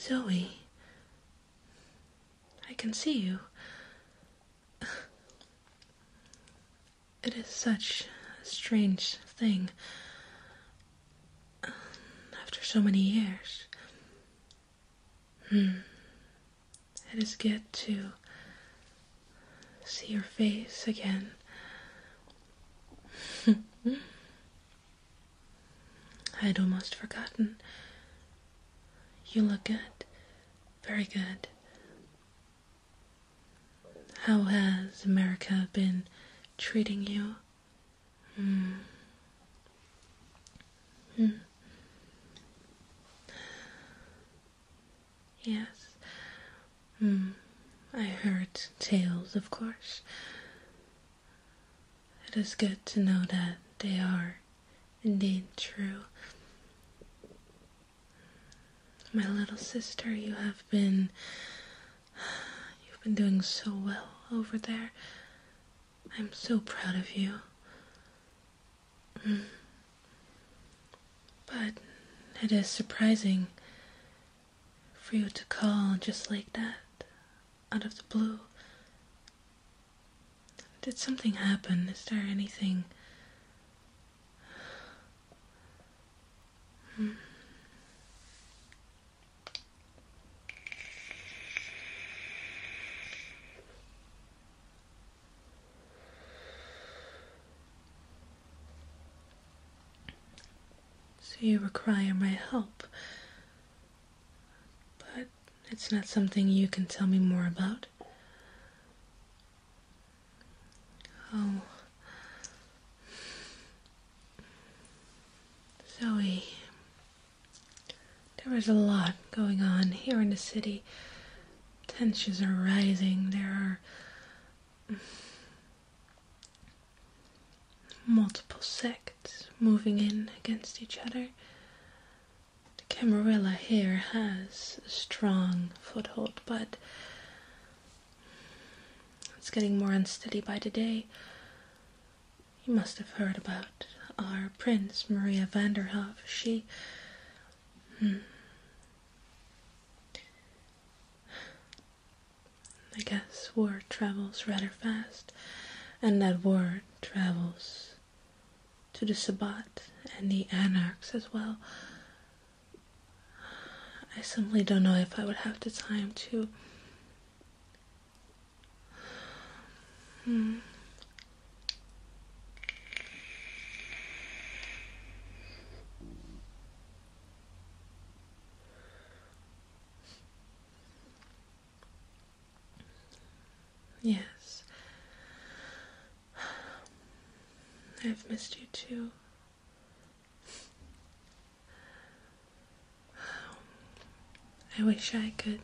Zoe, I can see you. It is such a strange thing. After so many years, hmm. it is good to see your face again. I'd almost forgotten. You look good. Very good. How has America been treating you? Hmm. Hmm. Yes. Hmm. I heard tales, of course. It is good to know that they are indeed true. My little sister, you have been. You've been doing so well over there. I'm so proud of you. But it is surprising for you to call just like that, out of the blue. Did something happen? Is there anything? So you require my help. But it's not something you can tell me more about. Oh. Zoe, was a lot going on here in the city Tensions are rising. There are multiple sects moving in against each other. The Camarilla here has a strong foothold, but it's getting more unsteady by the day. You must have heard about our Prince Maria Vanderhoff. She Hmm. I guess word travels rather fast, and that word travels to the Sabbat and the anarchs as well. I simply don't know if I would have the time to. Hmm, Yes. I've missed you too. Um, I wish I could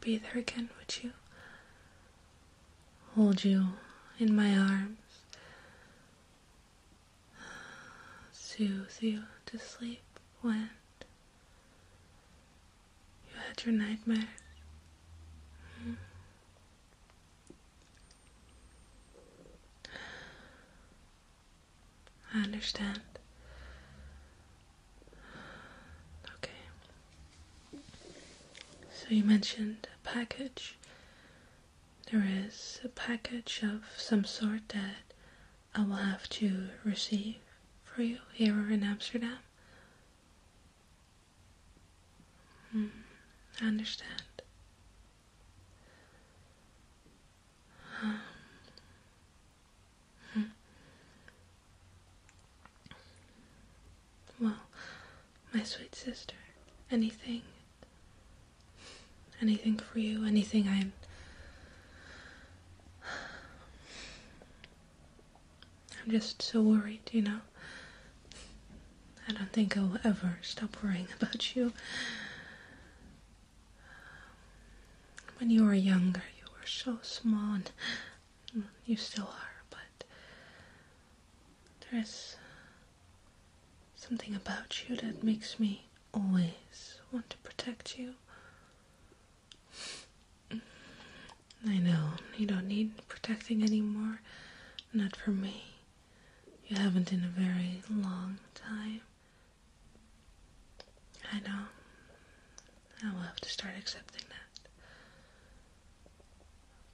be there again with you hold you in my arms, soothe you to sleep when you had your nightmares. Hmm. I understand Okay. So you mentioned a package. There is a package of some sort that I will have to receive for you here in Amsterdam. Hmm, I understand. Um, Hmm. Well, my sweet sister, anything, anything for you, anything I'm. I'm just so worried, you know. I don't think I'll ever stop worrying about you when you were younger, you were so small, and you still are, but there is something about you that makes me always want to protect you. I know, you don't need protecting anymore. Not for me. You haven't in a very long time. I know. I will have to start accepting that.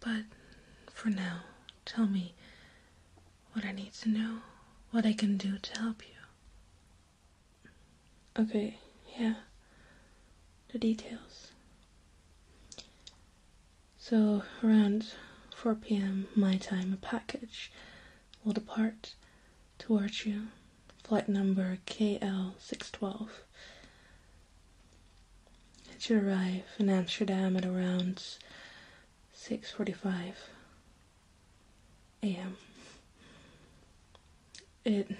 But for now, tell me what I need to know, what I can do to help you. Okay, yeah. The details. So, around 4 pm my time, a package will depart towards you, flight number KL612. It should arrive in Amsterdam at around 6:45 a.m. It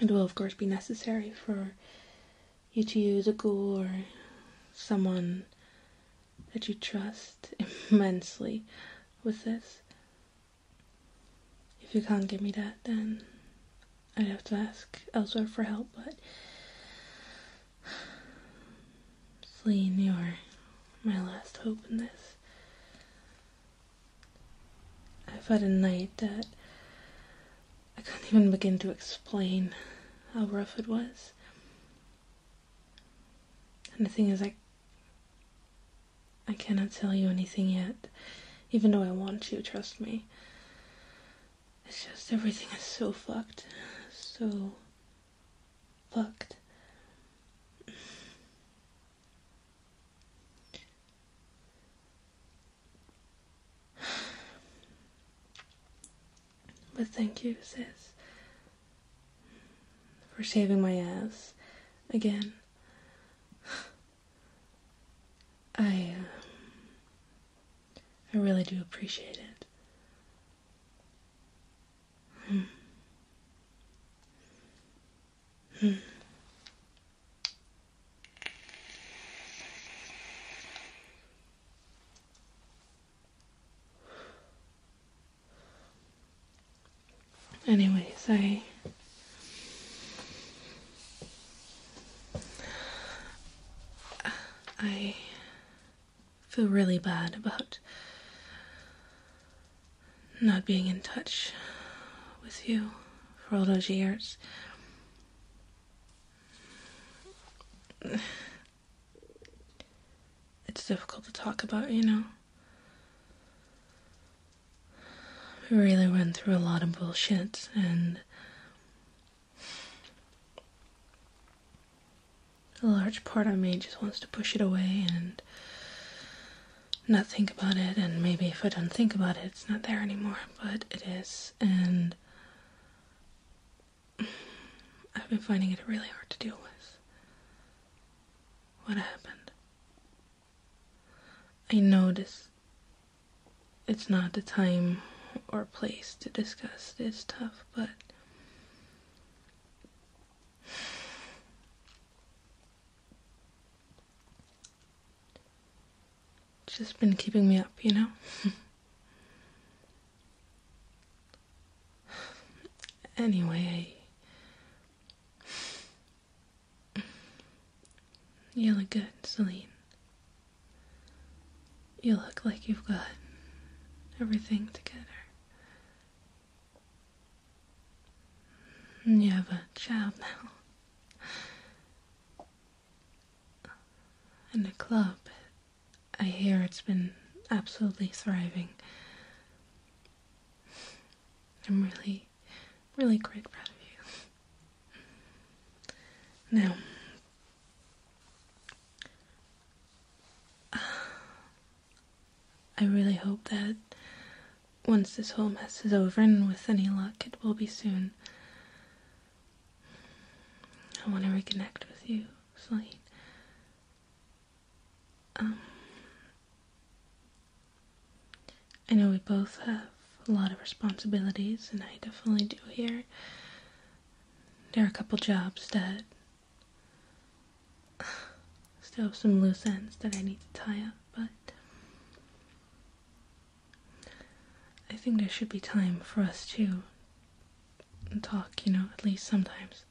it will of course be necessary for you to use a ghoul or someone that you trust immensely with this. If you can't give me that, then I'd have to ask elsewhere for help, but Celine, you're my last hope in this. I've had a night that I can not even begin to explain how rough it was. And the thing is, I I cannot tell you anything yet, even though I want to, trust me. It's just everything is so fucked. So fucked. But thank you, sis for saving my ass again. I uh, I really do appreciate it. Anyways, I I feel really bad about not being in touch with you for all those years it's difficult to talk about, you know. We really went through a lot of bullshit and a large part of me just wants to push it away and not think about it and maybe if I don't think about it it's not there anymore, but it is and I've been finding it really hard to deal with. What happened? I know this. it's not the time or place to discuss this stuff, but just been keeping me up, you know? Anyway, You look good, Celine. You look like you've got everything together. You have a child now. And a club I hear it's been absolutely thriving. I'm really, really grateful to you. Now, I really hope that once this whole mess is over, and with any luck, it will be soon, I want to reconnect with you fine. Um, I know we both have a lot of responsibilities, and I definitely do here. There are a couple jobs that still have some loose ends that I need to tie up, but I think there should be time for us to and talk, you know, at least sometimes.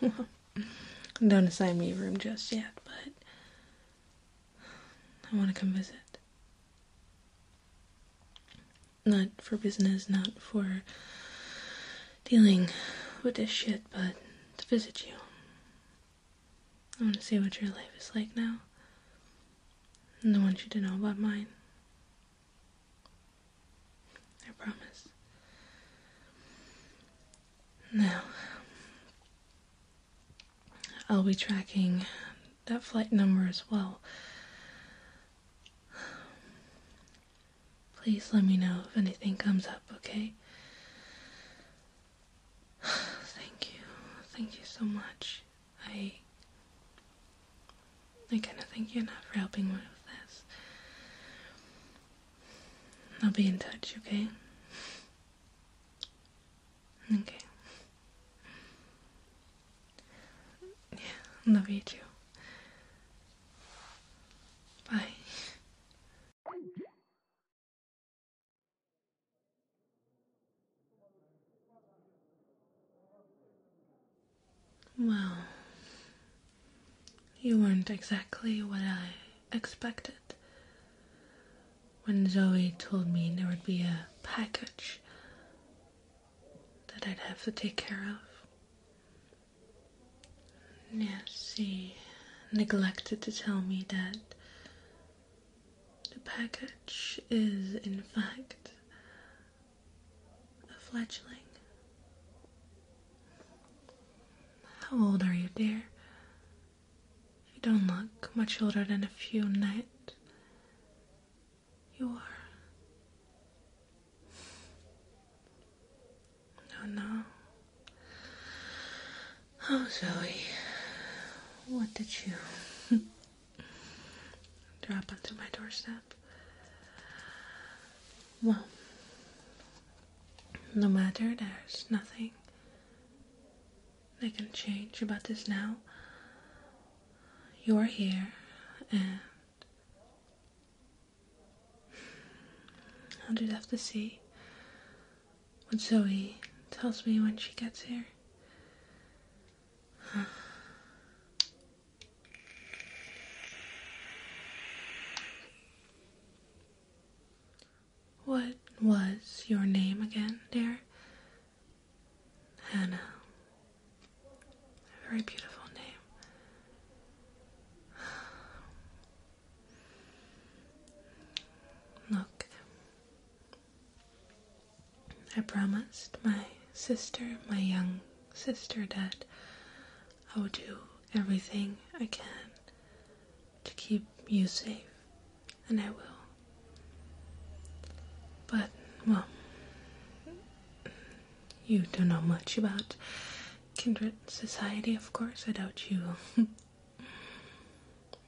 Don't assign me a room just yet, but I want to come visit. Not for business, not for dealing with this shit, but to visit you. I want to see what your life is like now. And I want you to know about mine. I promise. Now, I'll be tracking that flight number as well. Please let me know if anything comes up, okay? Thank you. Thank you so much. I I kinda thank you enough for helping me with this. I'll be in touch, okay? Okay. Yeah, love you too. Bye. Well, you weren't exactly what I expected. When Zoe told me there would be a package that I'd have to take care of. Yes, she neglected to tell me that the package is, in fact, a fledgling. How old are you, dear? You don't look much older than a few nights. You are. No, no. Oh, Zoe, what did you drop onto my doorstep? Well, no matter, there's nothing I can change about this now you're here and I'll just have to see what Zoe tells me when she gets here. What was your name again, dear? Hannah. Uh, a very beautiful name. Look, I promised my sister, my young sister, that I would do everything I can to keep you safe, and I will. But, well, you don't know much about kindred society, of course. I doubt you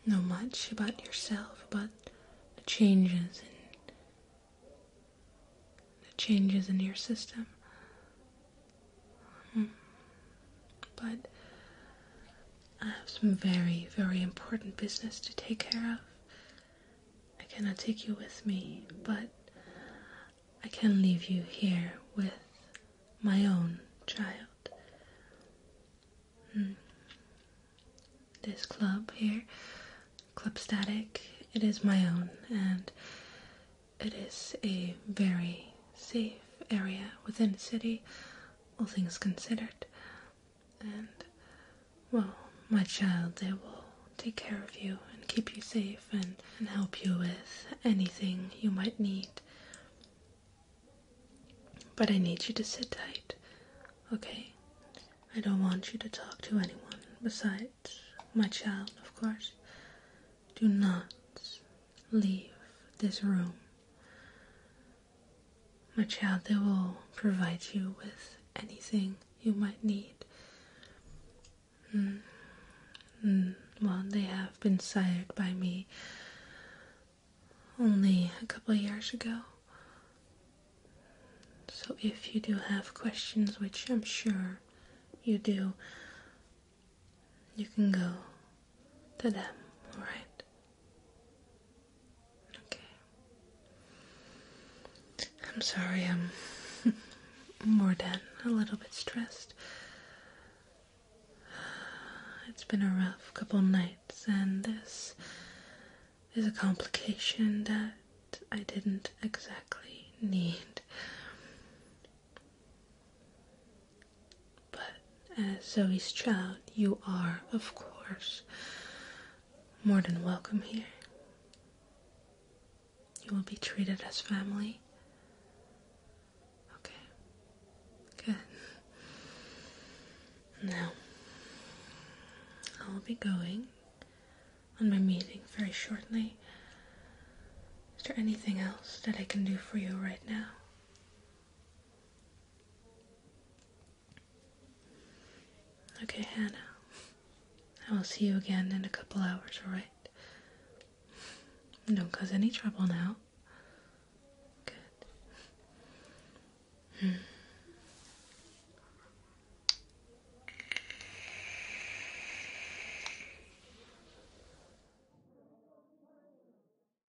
know much about yourself, about the changes in the changes in your system. Hmm. But I have some very, very important business to take care of. I cannot take you with me, but I can leave you here with my own child. Hmm. This club here, Club Static, it is my own and it is a very safe area within the city, all things considered. And, well, my child, they will take care of you and keep you safe and, and help you with anything you might need. But I need you to sit tight, okay? I don't want you to talk to anyone besides my child, of course. Do not leave this room. My child, they will provide you with anything you might need. Mm. Mm. Well, they have been sired by me only a couple years ago. So if you do have questions, which I'm sure you do, you can go to them, alright? Okay. I'm sorry, I'm more dead. a little bit stressed. It's been a rough couple nights, and this is a complication that I didn't exactly need. But as uh, Zoe's child, you are, of course, more than welcome here. You will be treated as family. Okay. Good. Now, I'll be going on my meeting very shortly. Is there anything else that I can do for you right now? Okay, Hannah. I will see you again in a couple hours, alright? Don't cause any trouble now. Good. Hmm.